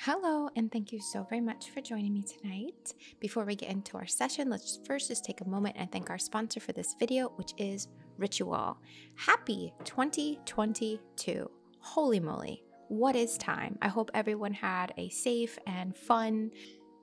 Hello, and thank you so very much for joining me tonight. Before we get into our session, let's first just take a moment and thank our sponsor for this video, which is Ritual. Happy 2022. Holy moly, what is time? I hope everyone had a safe and fun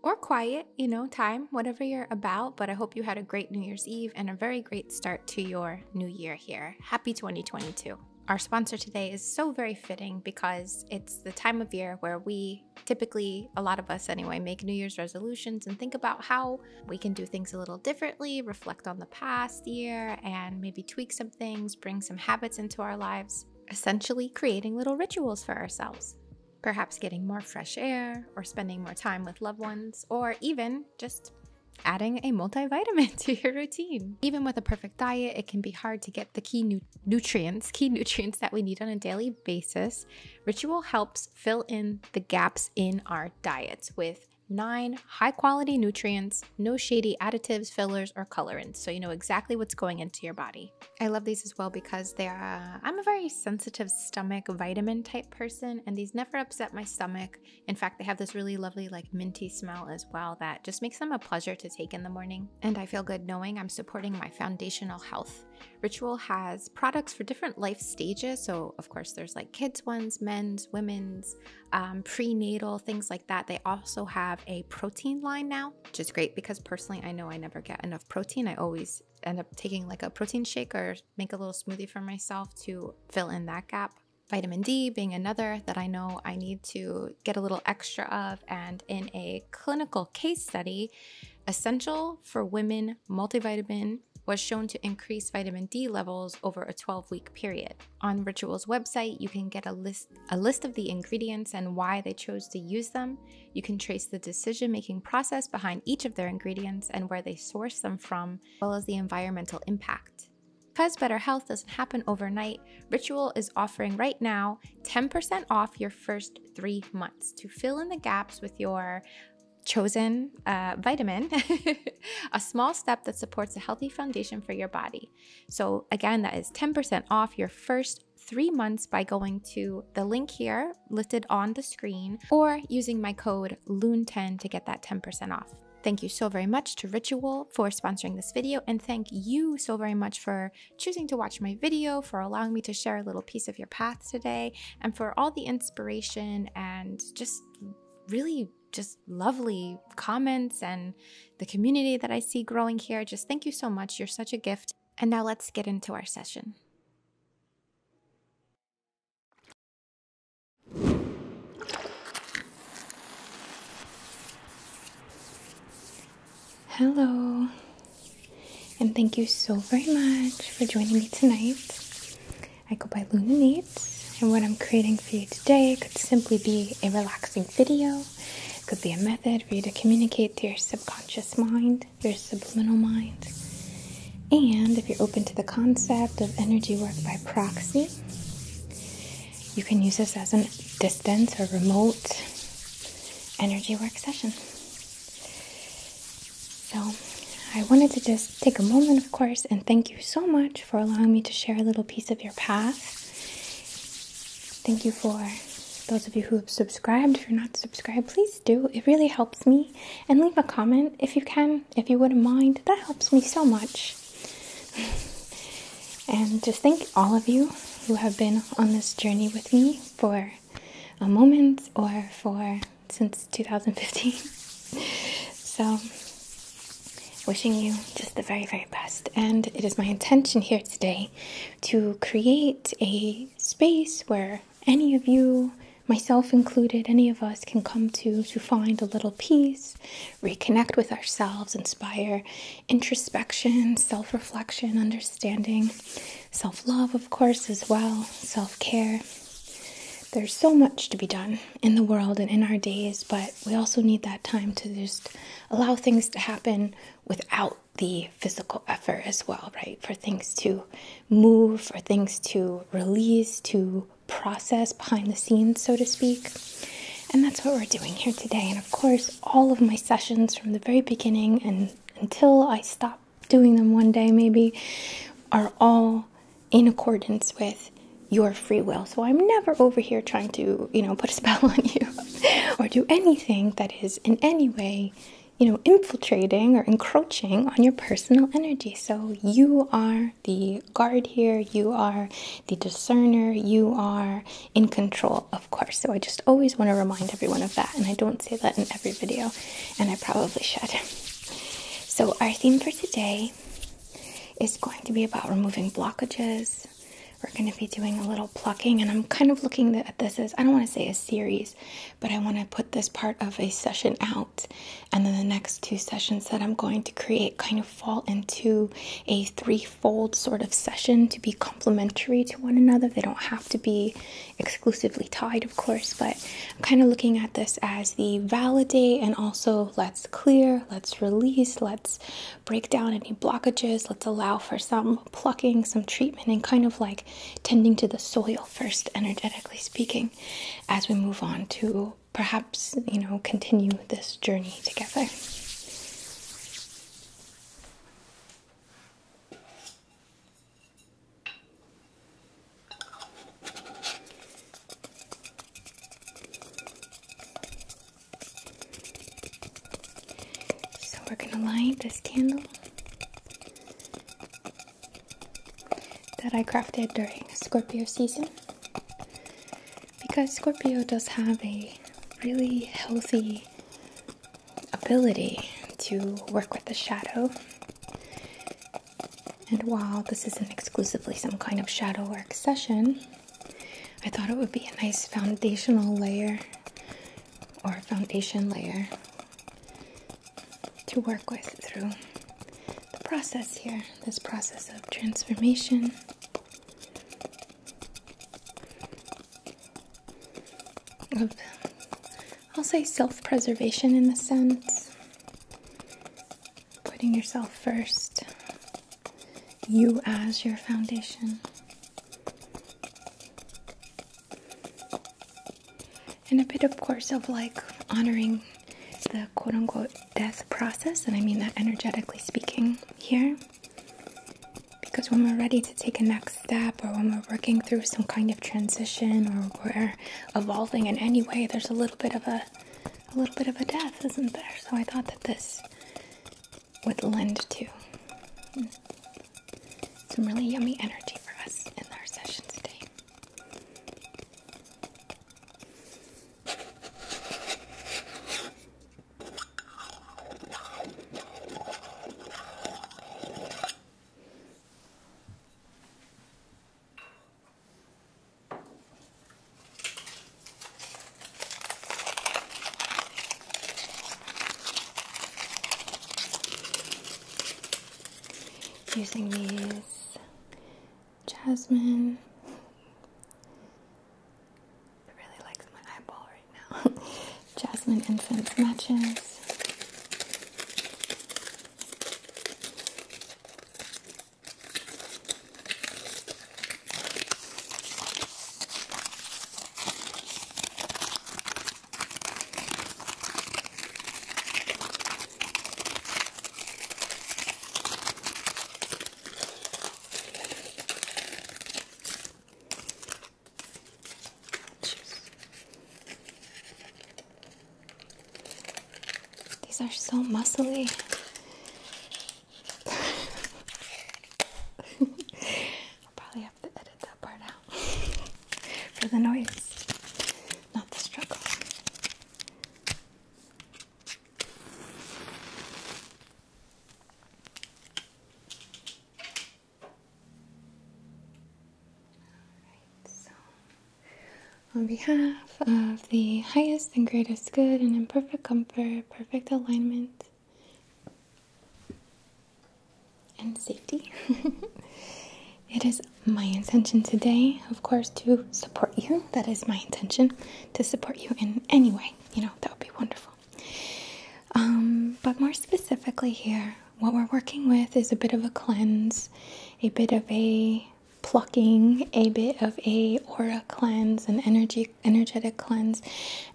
or quiet, you know, time, whatever you're about, but I hope you had a great New Year's Eve and a very great start to your new year here. Happy 2022. Our sponsor today is so very fitting because it's the time of year where we typically, a lot of us anyway, make New Year's resolutions and think about how we can do things a little differently, reflect on the past year, and maybe tweak some things, bring some habits into our lives, essentially creating little rituals for ourselves. Perhaps getting more fresh air, or spending more time with loved ones, or even just adding a multivitamin to your routine. Even with a perfect diet, it can be hard to get the key nutrients, key nutrients that we need on a daily basis. Ritual helps fill in the gaps in our diets with nine high quality nutrients, no shady additives, fillers, or colorants. So you know exactly what's going into your body. I love these as well because they are, I'm a very sensitive stomach vitamin type person, and these never upset my stomach. In fact, they have this really lovely, like minty smell as well that just makes them a pleasure to take in the morning. And I feel good knowing I'm supporting my foundational health. Ritual has products for different life stages. So, of course, there's like kids' ones, men's, women's, um, prenatal, things like that. They also have a protein line now, which is great because personally, I know I never get enough protein. I always end up taking like a protein shake or make a little smoothie for myself to fill in that gap vitamin D being another that I know I need to get a little extra of. And in a clinical case study, Essential for Women multivitamin was shown to increase vitamin D levels over a 12-week period. On Ritual's website, you can get a list a list of the ingredients and why they chose to use them. You can trace the decision-making process behind each of their ingredients and where they source them from, as well as the environmental impact. Because better health doesn't happen overnight, Ritual is offering right now 10% off your first three months to fill in the gaps with your chosen uh, vitamin, a small step that supports a healthy foundation for your body. So, again, that is 10% off your first three months by going to the link here listed on the screen or using my code loon 10 to get that 10% off. Thank you so very much to Ritual for sponsoring this video and thank you so very much for choosing to watch my video, for allowing me to share a little piece of your path today, and for all the inspiration and just really just lovely comments and the community that I see growing here. Just thank you so much. You're such a gift. And now let's get into our session. Hello, and thank you so very much for joining me tonight. I go by Luna Nates, and what I'm creating for you today could simply be a relaxing video, could be a method for you to communicate to your subconscious mind, your subliminal mind. And if you're open to the concept of energy work by proxy, you can use this as a distance or remote energy work session. So, I wanted to just take a moment, of course, and thank you so much for allowing me to share a little piece of your path. Thank you for those of you who have subscribed. If you're not subscribed, please do. It really helps me. And leave a comment if you can, if you wouldn't mind. That helps me so much and just thank all of you who have been on this journey with me for a moment or for since 2015. so, wishing you just the very, very best. And it is my intention here today to create a space where any of you, myself included, any of us can come to to find a little peace reconnect with ourselves, inspire introspection, self reflection, understanding, self love, of course, as well, self care. There's so much to be done in the world and in our days, but we also need that time to just allow things to happen without the physical effort as well, right? For things to move, for things to release, to process behind the scenes, so to speak. And that's what we're doing here today. And of course, all of my sessions from the very beginning and until I stop doing them one day, maybe, are all in accordance with your free will. So I'm never over here trying to, you know, put a spell on you or do anything that is in any way, you know, infiltrating or encroaching on your personal energy. So you are the guard here, you are the discerner, you are in control, of course. So I just always want to remind everyone of that, and I don't say that in every video, and I probably should. So, our theme for today is going to be about removing blockages. We're going to be doing a little plucking, and I'm kind of looking at this as I don't want to say a series, but I want to put this part of a session out, and then the next two sessions that I'm going to create kind of fall into a threefold sort of session to be complementary to one another. They don't have to be exclusively tied, of course, but I'm kind of looking at this as the validate and also let's clear, let's release, let's break down any blockages, let's allow for some plucking, some treatment, and kind of like tending to the soil first, energetically speaking, as we move on to perhaps, you know, continue this journey together. So we're going to light this candle that I crafted during Scorpio season because Scorpio does have a really healthy ability to work with the shadow. And while this isn't exclusively some kind of shadow work session, I thought it would be a nice foundational layer or foundation layer to work with through the process here, this process of transformation I'll say self preservation in the sense, putting yourself first, you as your foundation. And a bit, of course, of like honoring the quote unquote death process, and I mean that energetically speaking here. Because when we're ready to take a next step, or when we're working through some kind of transition, or we're evolving in any way, there's a little bit of a, a little bit of a death, isn't there? So I thought that this would lend to some really yummy energy for us in our session today. Using these Jasmine. I really likes my eyeball right now. Jasmine incense matches. These are so muscly. I'll probably have to edit that part out for the noise, not the struggle on behalf of the highest and greatest good and in perfect comfort, perfect alignment, and safety. it is my intention today, of course, to support you. That is my intention to support you in any way, you know, that would be wonderful. Um, but more specifically, here, what we're working with is a bit of a cleanse, a bit of a plucking, a bit of a aura cleanse, an energy energetic cleanse,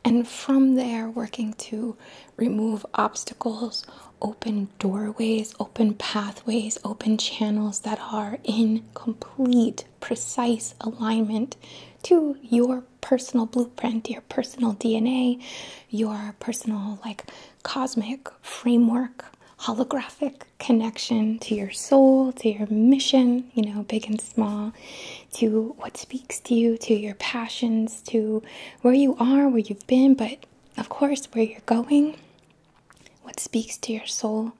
and from there working to remove obstacles, open doorways, open pathways, open channels that are incomplete precise alignment to your personal blueprint, your personal DNA, your personal, like, cosmic framework, holographic connection to your soul, to your mission, you know, big and small, to what speaks to you, to your passions, to where you are, where you've been, but of course, where you're going what speaks to your soul.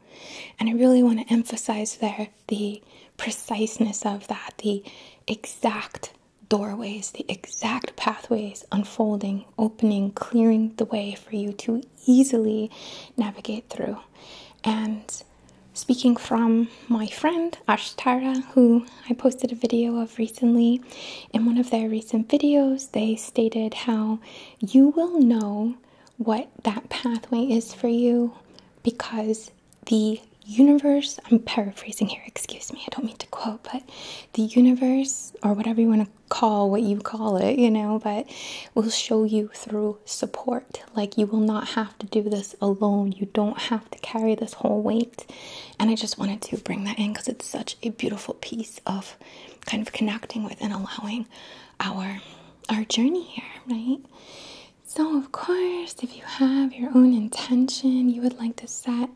And I really want to emphasize there the preciseness of that, the exact doorways, the exact pathways unfolding, opening, clearing the way for you to easily navigate through. And speaking from my friend Ashtara, who I posted a video of recently, in one of their recent videos, they stated how you will know what that pathway is for you because the universe, I'm paraphrasing here, excuse me, I don't mean to quote, but the universe, or whatever you want to call what you call it, you know, but will show you through support. Like you will not have to do this alone, you don't have to carry this whole weight. And I just wanted to bring that in because it's such a beautiful piece of kind of connecting with and allowing our our journey here, right? So, of course, if you have your own intention you would like to set,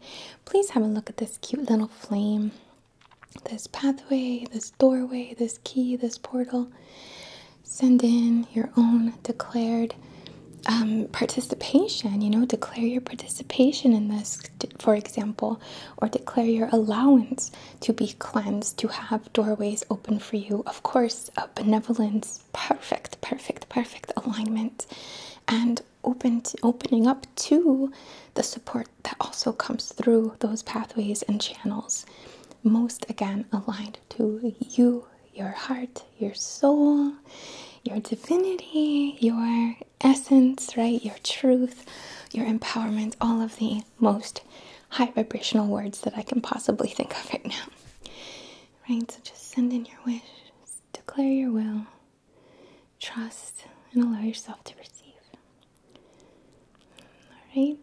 please have a look at this cute little flame, this pathway, this doorway, this key, this portal. Send in your own declared um, participation, you know, declare your participation in this, for example, or declare your allowance to be cleansed, to have doorways open for you. Of course, uh, benevolence, perfect, perfect, perfect alignment, and open opening up to the support that also comes through those pathways and channels. Most again aligned to you, your heart, your soul, your divinity, your essence, right? Your truth, your empowerment, all of the most high vibrational words that I can possibly think of right now. Right? So just send in your wish, declare your will, trust, and allow yourself to receive. All right.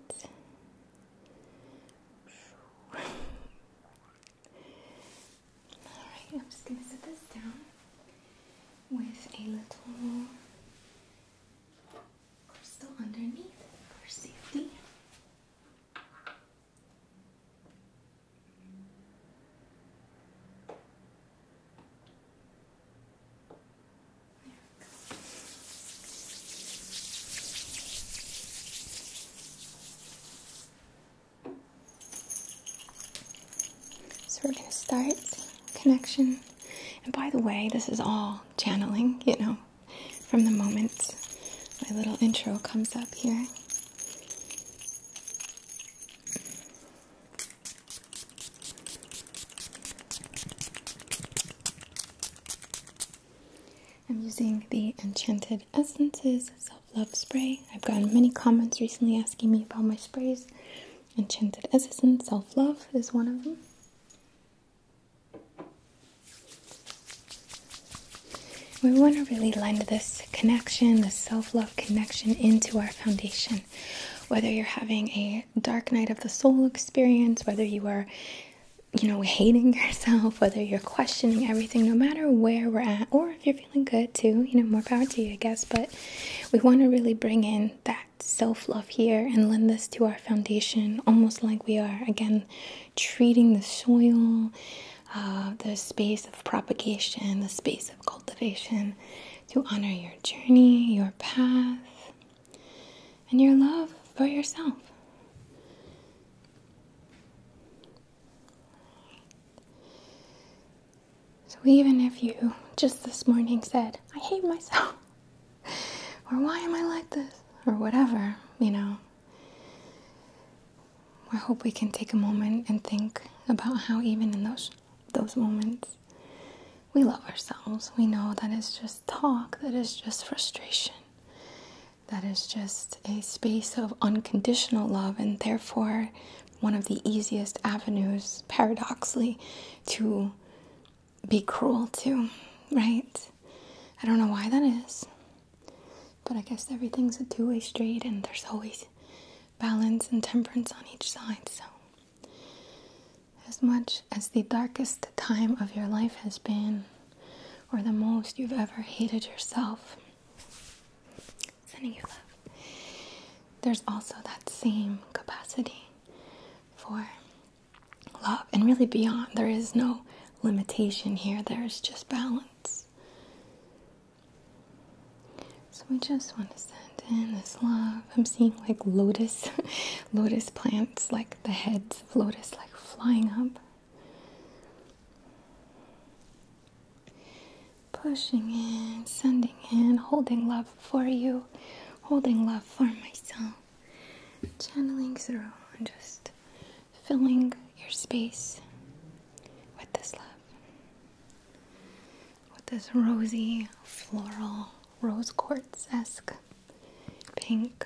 All right, I'm just going to set this down with a little crystal underneath for safety. So we're going to start connection. And by the way, this is all channeling, you know, from the moment my little intro comes up here. I'm using the Enchanted Essences Self Love Spray. I've gotten many comments recently asking me about my sprays. Enchanted Essence Self Love is one of them. We want to really lend this connection, this self love connection, into our foundation. Whether you're having a dark night of the soul experience, whether you are, you know, hating yourself, whether you're questioning everything, no matter where we're at, or if you're feeling good too, you know, more power to you, I guess. But we want to really bring in that self love here and lend this to our foundation, almost like we are again treating the soil, uh, the space of propagation, the space of cultivation to honor your journey, your path, and your love for yourself. So, even if you just this morning said, I hate myself, or why am I like this, or whatever, you know. I hope we can take a moment and think about how even in those those moments we love ourselves. We know that it's just talk, that is just frustration, that is just a space of unconditional love, and therefore one of the easiest avenues, paradoxically, to be cruel too, right? I don't know why that is, but I guess everything's a two way street and there's always balance and temperance on each side. So, as much as the darkest time of your life has been, or the most you've ever hated yourself, sending you love, there's also that same capacity for love and really beyond. There is no limitation here, there's just balance. So we just want to send in this love. I'm seeing like lotus, lotus plants, like the heads of lotus, like flying up. Pushing in, sending in, holding love for you holding love for myself, channeling through and just filling your space with this love. With this rosy, floral, rose quartz esque pink.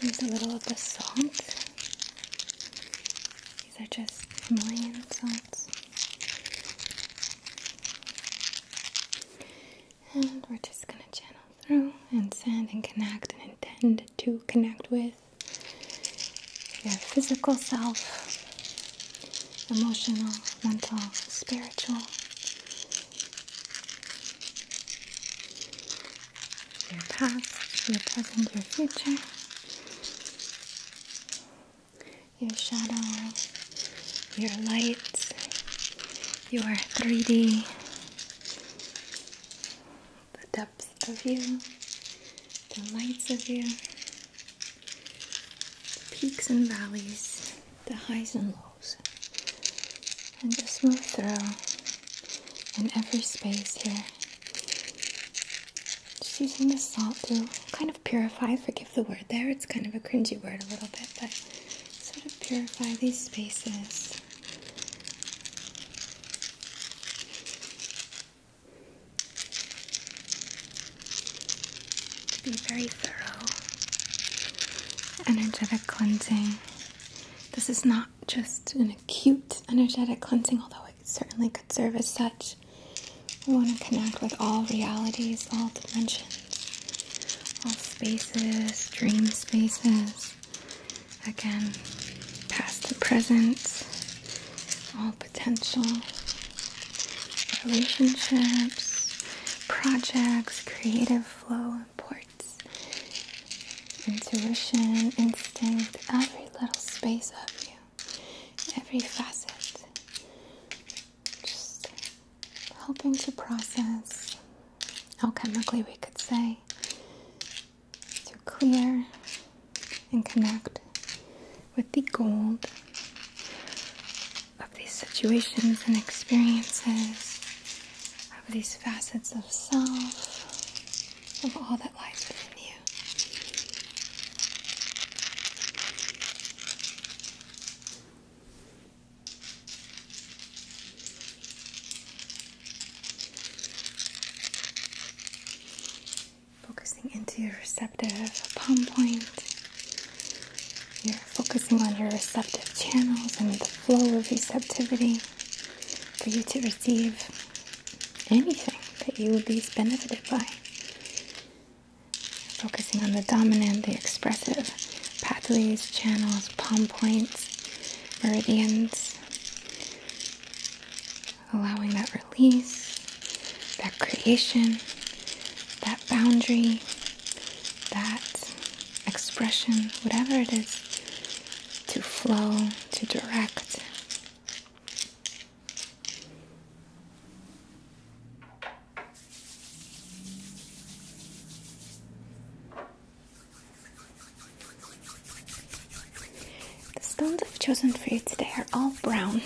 Here's a little of the salt. These are just Himalayan salts. And we're just going to channel through and send and connect and intend to connect with your physical self, emotional, mental, spiritual your past, your present, your future, your shadow, your light, your 3D, the depth of you, the lights of you, the peaks and valleys the highs and lows, and just move through in every space here. Just using the salt to kind of purify, forgive the word there, it's kind of a cringy word a little bit, but sort of purify these spaces to be very thorough energetic cleansing. This is not just an acute energetic cleansing, although it certainly could serve as such. We want to connect with all realities, all dimensions, all spaces, dream spaces. Again, past and present, all potential, relationships, projects, creative flow and ports intuition, instinct, every little space of you, every facet. Just helping to process, alchemically, we could say, to clear and connect with the gold of these situations and experiences, of these facets of self, of all that lies within you. Focusing into your receptive palm point you're focusing on your receptive channels and the flow of receptivity for you to receive anything that you would be benefited by. Focusing on the dominant, the expressive pathways, channels, palm points, meridians. Allowing that release, that creation, that boundary, that expression, whatever it is, to flow, to direct. The stones I've chosen for you today are all brown.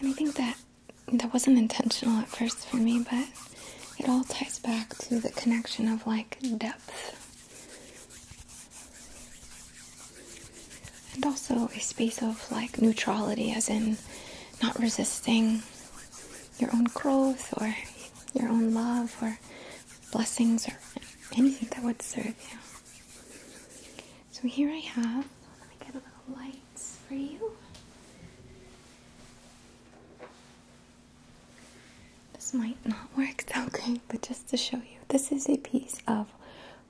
And I think that that wasn't intentional at first for me, but it all ties back to the connection of like depth. And also a space of like neutrality, as in not resisting your own growth or your own love or blessings or anything that would serve you. So here I have, let me get a little lights for you. This might not work that great, but just to show you, this is a piece of,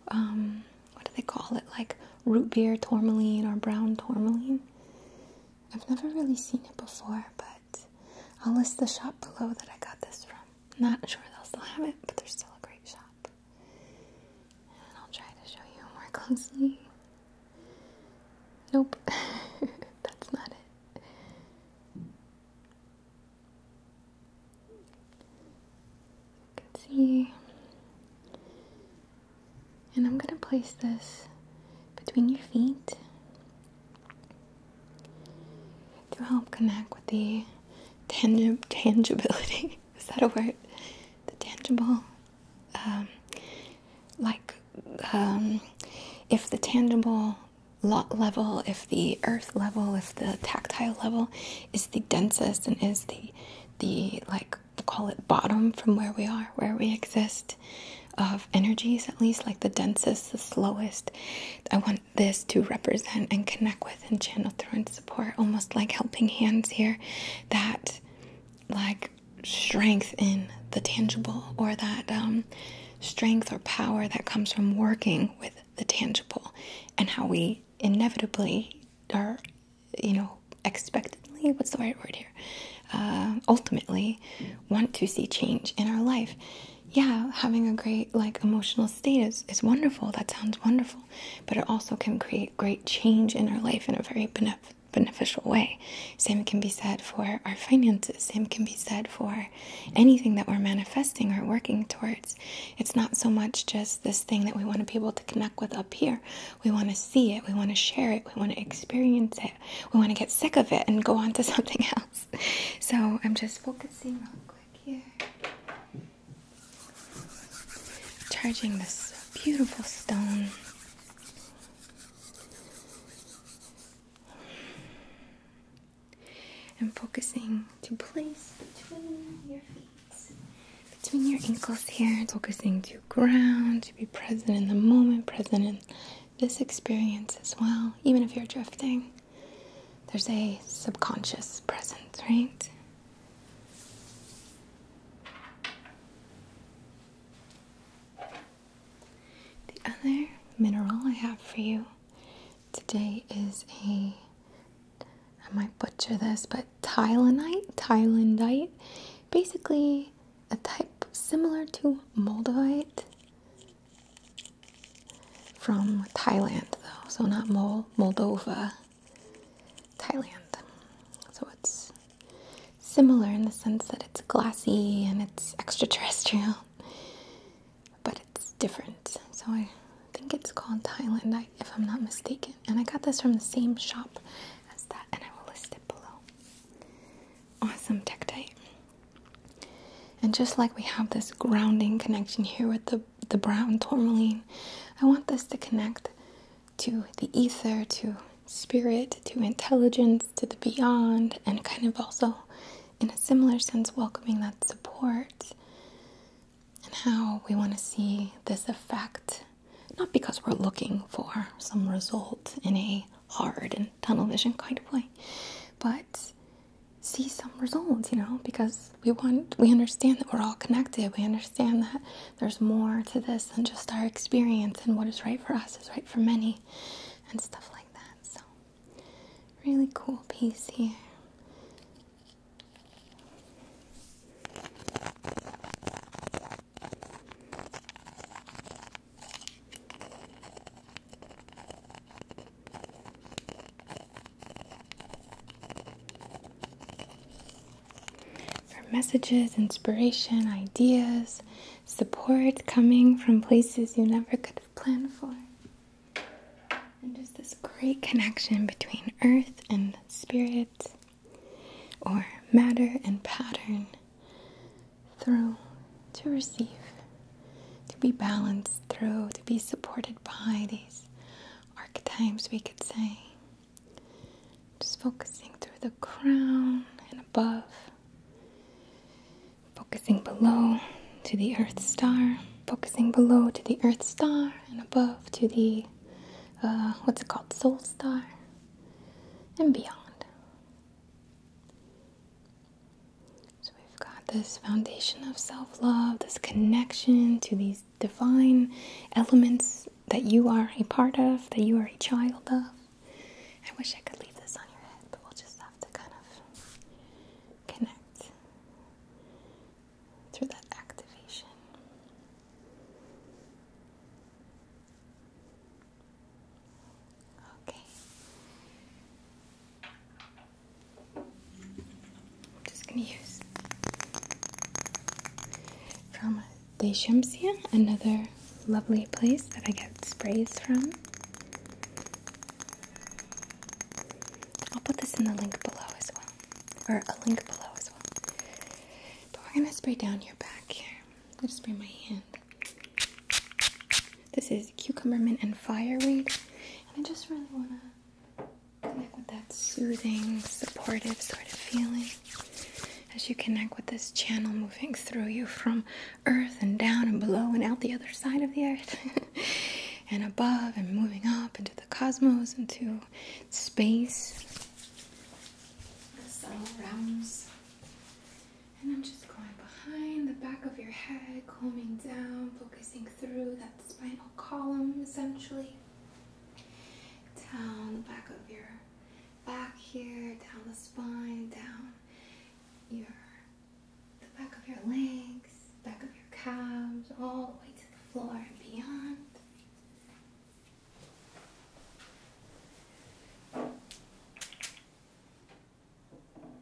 um, what do they call it? Like root beer tourmaline or brown tourmaline. I've never really seen it before, but I'll list the shop below that I got this from. Not sure they'll still have it, but they're still a great shop. And I'll try to show you more closely. Nope, that's not it. You can see. And I'm going to place this between your feet to help connect with the tangibility is that a word? The tangible, um, like um, if the tangible level, if the earth level, if the tactile level is the densest and is the the like call it bottom from where we are, where we exist of energies at least like the densest, the slowest. I want this to represent and connect with and channel through and support, almost like helping hands here that like strength in the tangible or that um, strength or power that comes from working with the tangible and how we inevitably or, you know expectantly what's the right word here uh, ultimately want to see change in our life yeah, having a great like emotional state is, is wonderful. That sounds wonderful. But it also can create great change in our life in a very benef beneficial way. Same can be said for our finances. Same can be said for anything that we're manifesting or working towards. It's not so much just this thing that we want to be able to connect with up here. We want to see it. We want to share it. We want to experience it. We want to get sick of it and go on to something else. So I'm just focusing on Charging this beautiful stone. And focusing to place between your feet, between your ankles here. Focusing to ground, to be present in the moment, present in this experience as well, even if you're drifting there's a subconscious presence, right? The other mineral I have for you today is a I might butcher this, but Thailandite, Thailandite, basically a type similar to moldavite from Thailand, though, so not Moldova, Thailand. So it's similar in the sense that it's glassy and it's extraterrestrial, but it's different. So I think it's called Thailand, if I'm not mistaken. And I got this from the same shop as that, and I will list it below. Awesome Tektite. And just like we have this grounding connection here with the the, brown tourmaline. I want this to connect to the ether, to spirit, to intelligence, to the beyond, and kind of also, in a similar sense, welcoming that support and how we want to see this effect. Not because we're looking for some result in a hard and tunnel vision kind of way, but see some results, you know, because we want we understand that we're all connected. We understand that there's more to this than just our experience and what is right for us is right for many and stuff like that. So really cool piece here. For messages, inspiration, ideas, support coming from places you never could have planned for. And just this great connection between earth and spirit, or matter and pattern, through to receive to be balanced through, to be supported by these archetypes, we could say. Just focusing through the crown and above, focusing below to the earth star, focusing below to the earth star, and above to the uh, what's it called, soul star, and beyond. So we've got this foundation of self love, this connection to these divine elements that you are a part of, that you are a child of. I wish I could leave this on your head, but we'll just have to kind of connect through that activation. Okay. I'm just gonna use from Deshamsia, another lovely place that I get sprays from. I'll put this in the link below as well, or a link below as well. But we're gonna spray down your back here. I'm going spray my hand. This is Cucumber Mint and Fireweed. And I just really want to connect with that soothing, supportive sort of feeling as you connect with this channel moving through you from earth and down and below and out the other side of the earth and above and moving up into the cosmos, into space, the subtle realms. And I'm just going behind the back of your head, calming down, focusing through that spinal column essentially. Down the back of your back here, down the spine, down your the back of your legs, back of your calves, all the way to the floor and beyond.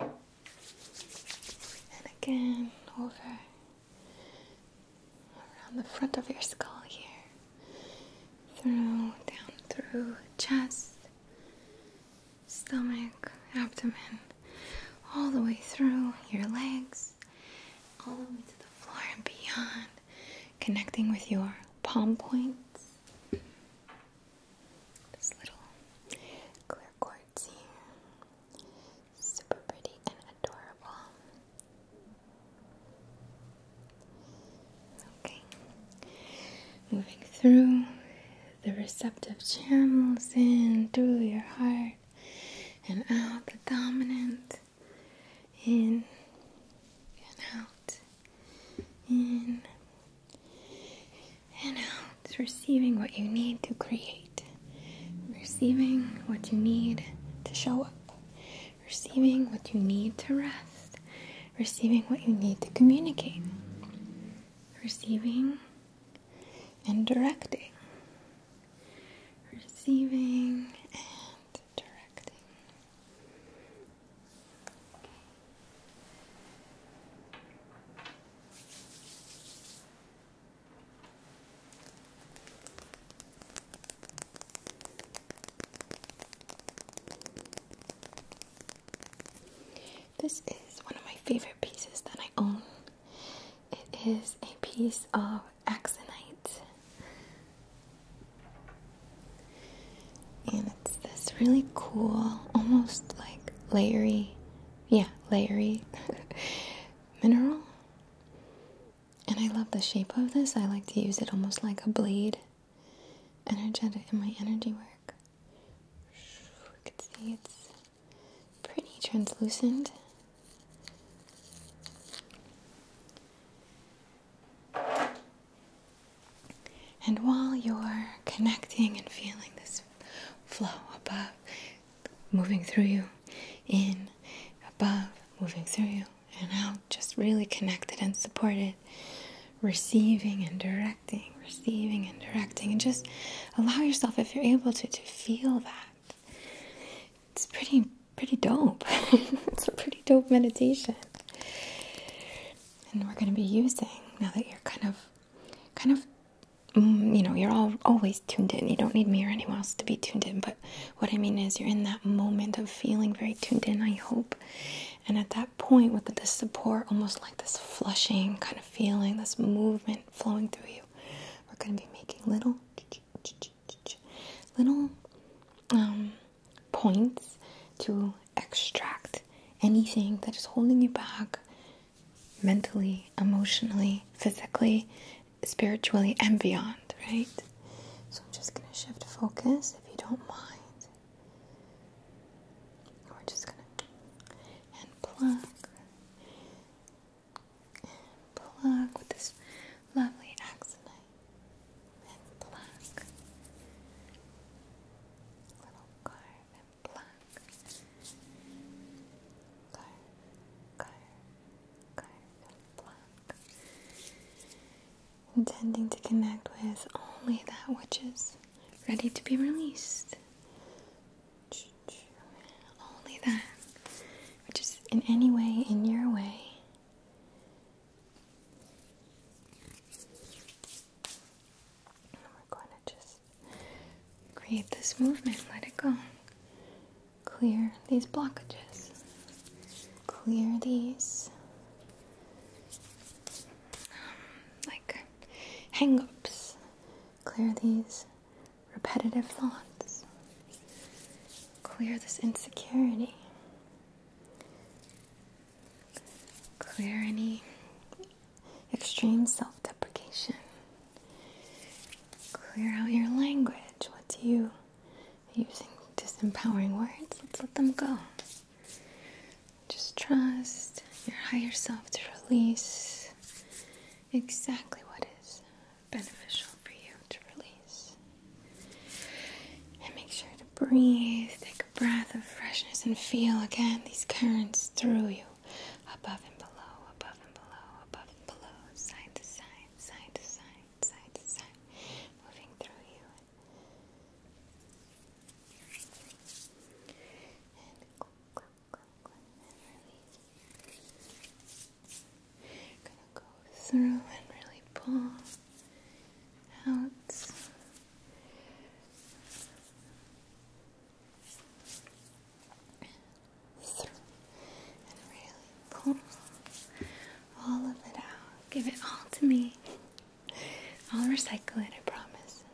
And again, over around the front of your skull here, through, down through chest, stomach, abdomen, all the way through your legs, all the way to the floor and beyond, connecting with your palm points. This little clear quartz here. Super pretty and adorable. Okay. Moving through the receptive channels in through your heart and out the dominant. In and out. In and uh, it's receiving what you need to create, receiving what you need to show up, receiving what you need to rest, receiving what you need to communicate, receiving and directing, receiving and directing. Okay. This is one of my favorite pieces that I own. It is a piece of axonite. And it's this really cool, almost like layery yeah, layery mineral. And I love the shape of this. I like to use it almost like a blade, energetic in my energy work. You can see it's pretty translucent. And while you're connecting and feeling this flow above, moving through you, in, above, moving through you, and out, just really connected and supported, receiving and directing, receiving and directing, and just allow yourself, if you're able to, to feel that. It's pretty, pretty dope. it's a pretty dope meditation. And we're going to be using, now that you're kind of kind of mm, you know you're all always tuned in you don't need me or anyone else to be tuned in but what i mean is you're in that moment of feeling very tuned in i hope and at that point with the support almost like this flushing kind of feeling this movement flowing through you we're going to be making little little um, points to extract anything that is holding you back mentally, emotionally, physically, spiritually, and beyond, right? So I'm just going to shift focus if you don't mind. We're just going to and pluck pluck with this lovely axonite pluck little carve pluck, carve, carve, carve, Intending to connect with only that which is ready to be released. Only that which is in any way in your way. we're going to just Create this movement, let it go. Clear these blockages. Clear these um, like hang ups. Clear these repetitive thoughts. Clear this insecurity. Clear any extreme self deprecation. Clear out your language. What do you using disempowering words? Let's let them go. Just trust your higher self to release exactly what is beneficial for you to release. And make sure to breathe, take a breath of freshness, and feel again these currents through you above and below, above and below, above and below, side to side, side to side, side to side, moving through you. And click, click, click, click, and release. Gonna go through and really pull out all of it out. Give it all to me. I'll recycle it, I promise.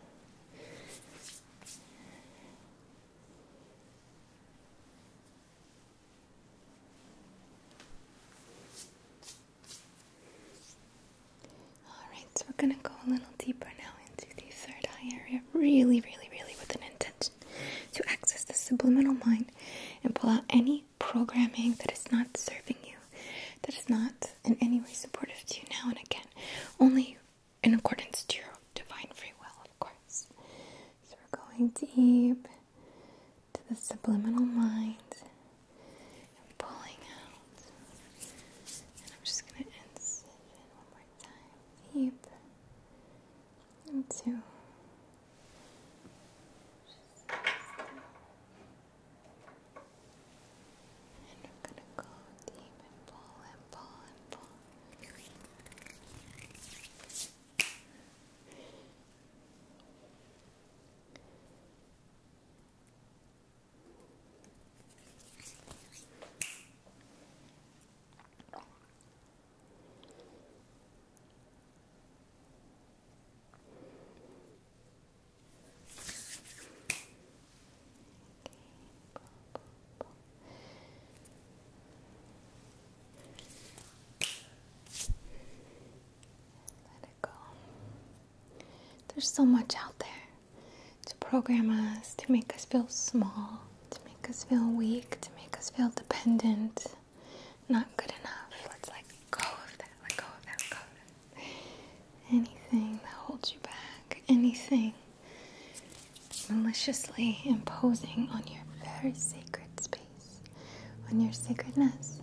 Alright, so we're gonna go a little deeper now into the third eye area, really, really, really with an intention to access the subliminal mind and pull out any programming that is not serving you, that is not in any way supportive to you now and again, only in accordance to your divine free will, of course. So we're going deep to the subliminal mind and pulling out. And I'm just going to one more time, deep and two. and we're gonna go deep and pull and pull and pull. Let it go. There's so much out there to program us, to make us feel small, to make us feel weak, to make us feel dependent, not good enough. Let's let go of that, let go of that, go Anything that holds you back, anything maliciously imposing on your very sacred space, on your sacredness.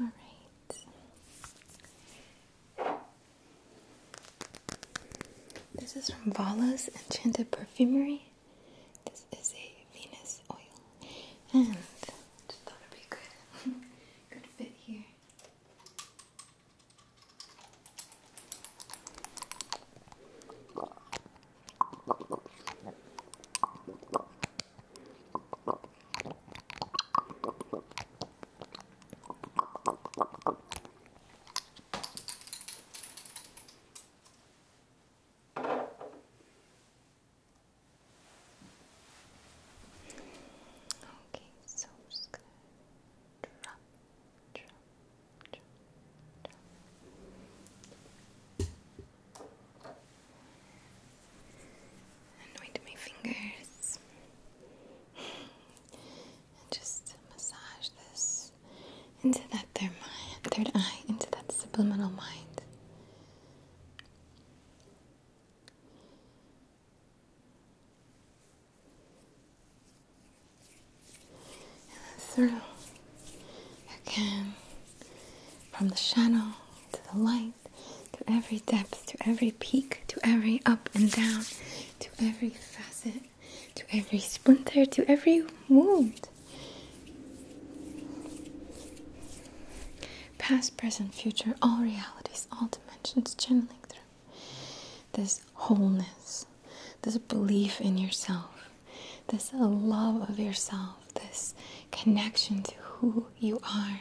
All right. This is from Vala's Enchanted Perfumery. This is a Venus oil, and just thought it'd be good, good fit here. Okay, so I'm just gonna drop, drop, drop, drop. Anoint my fingers. just massage this into that third, eye, into that subliminal mind. through again from the shadow to the light, to every depth, to every peak, to every up and down, to every facet, to every splinter, to every wound. Past, present, future, all realities, all dimensions channeling through this wholeness, this belief in yourself, this love of yourself this connection to who you are.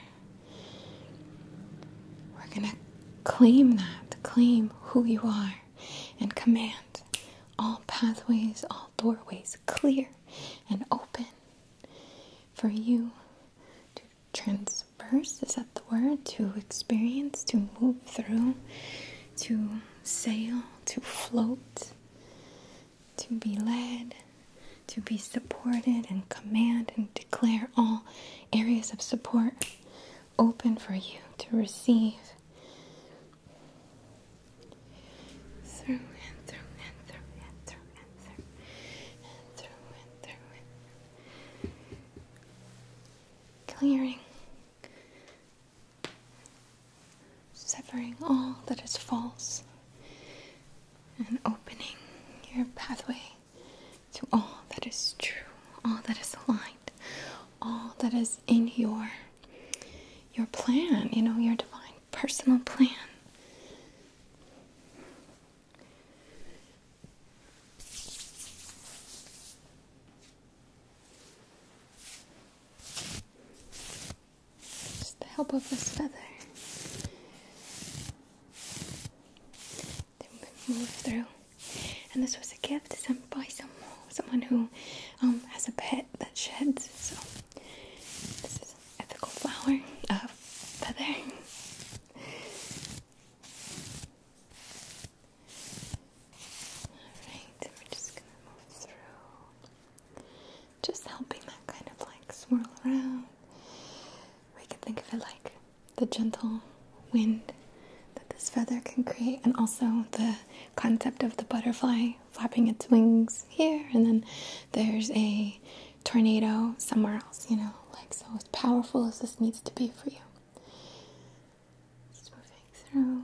We're going to claim that, claim who you are, and command all pathways, all doorways clear and open for you to transverse. Is that the word? To experience, to move through, to sail, to float, to be led, to be supported, and command and declare all areas of support open for you to receive. Through and through and through and through and through and through and through Clearing severing all that is false and opening your pathway to all that is true, all that is aligned, all that is in your your plan, you know, your divine personal plan just the help of this feather. They move through. And this was a gift sent by some, someone who um, has a pet that sheds. So this is an ethical flower, uh, feather. Alright, we're just gonna move through just helping that kind of like swirl around. We can think of it like the gentle wind that this feather can create, and also the concept of the butterfly flapping its wings here, and then there's a tornado somewhere else, you know, like so as powerful as this needs to be for you. Just moving through.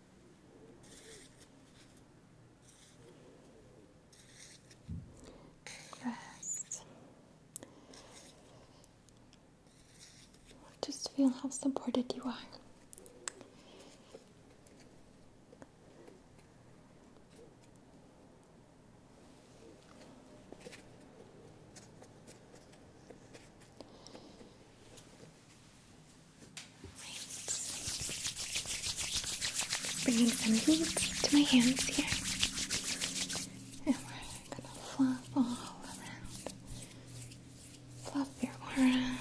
Rest. Just feel how supported you are. Right. Bringing some heat to my hands here. And we're gonna fluff all around. Fluff your aura.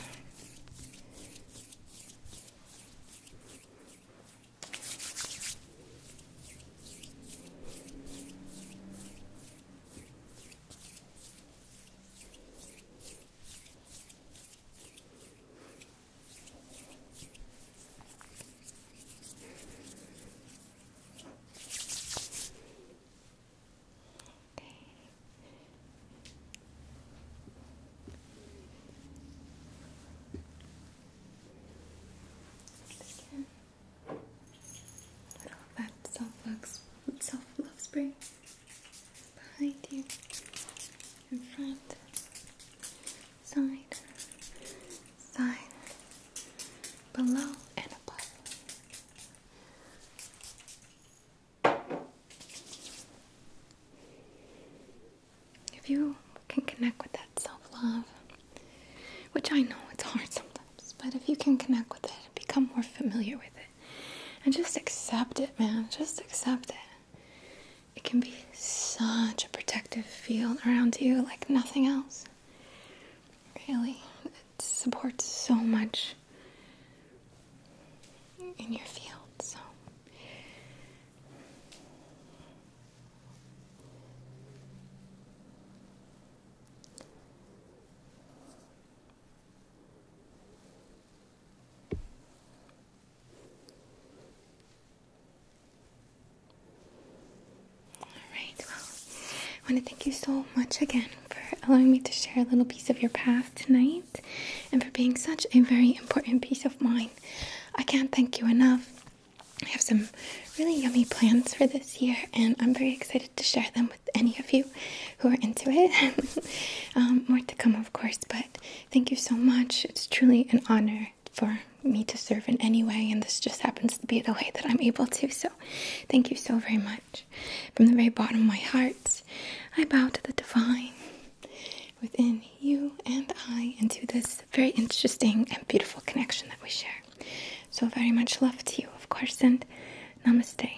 Again. Oh, that self love, self love spray behind you, in front, side, side, below, and above. If you can connect with that self love, which I know it's hard sometimes, but if you can connect with it, become more familiar with it. And just accept it, man. Just accept it. It can be such a protective field around you like nothing else. Really, it supports so much in your field. So Alright, well, I want to thank you so much again for allowing me to share a little piece of your path tonight and for being such a very important piece of mine. I can't thank you enough. I have some really yummy plans for this year, and I'm very excited to share them with any of you who are into it. Um, more to come, of course, but thank you so much. It's truly an honor for me to serve in any way, and this just happens to be the way that I'm able to. So, thank you so very much. From the very bottom of my heart, I bow to the divine within you and I, and to this very interesting and beautiful connection that we share. So, very much love to you, of course, and namaste.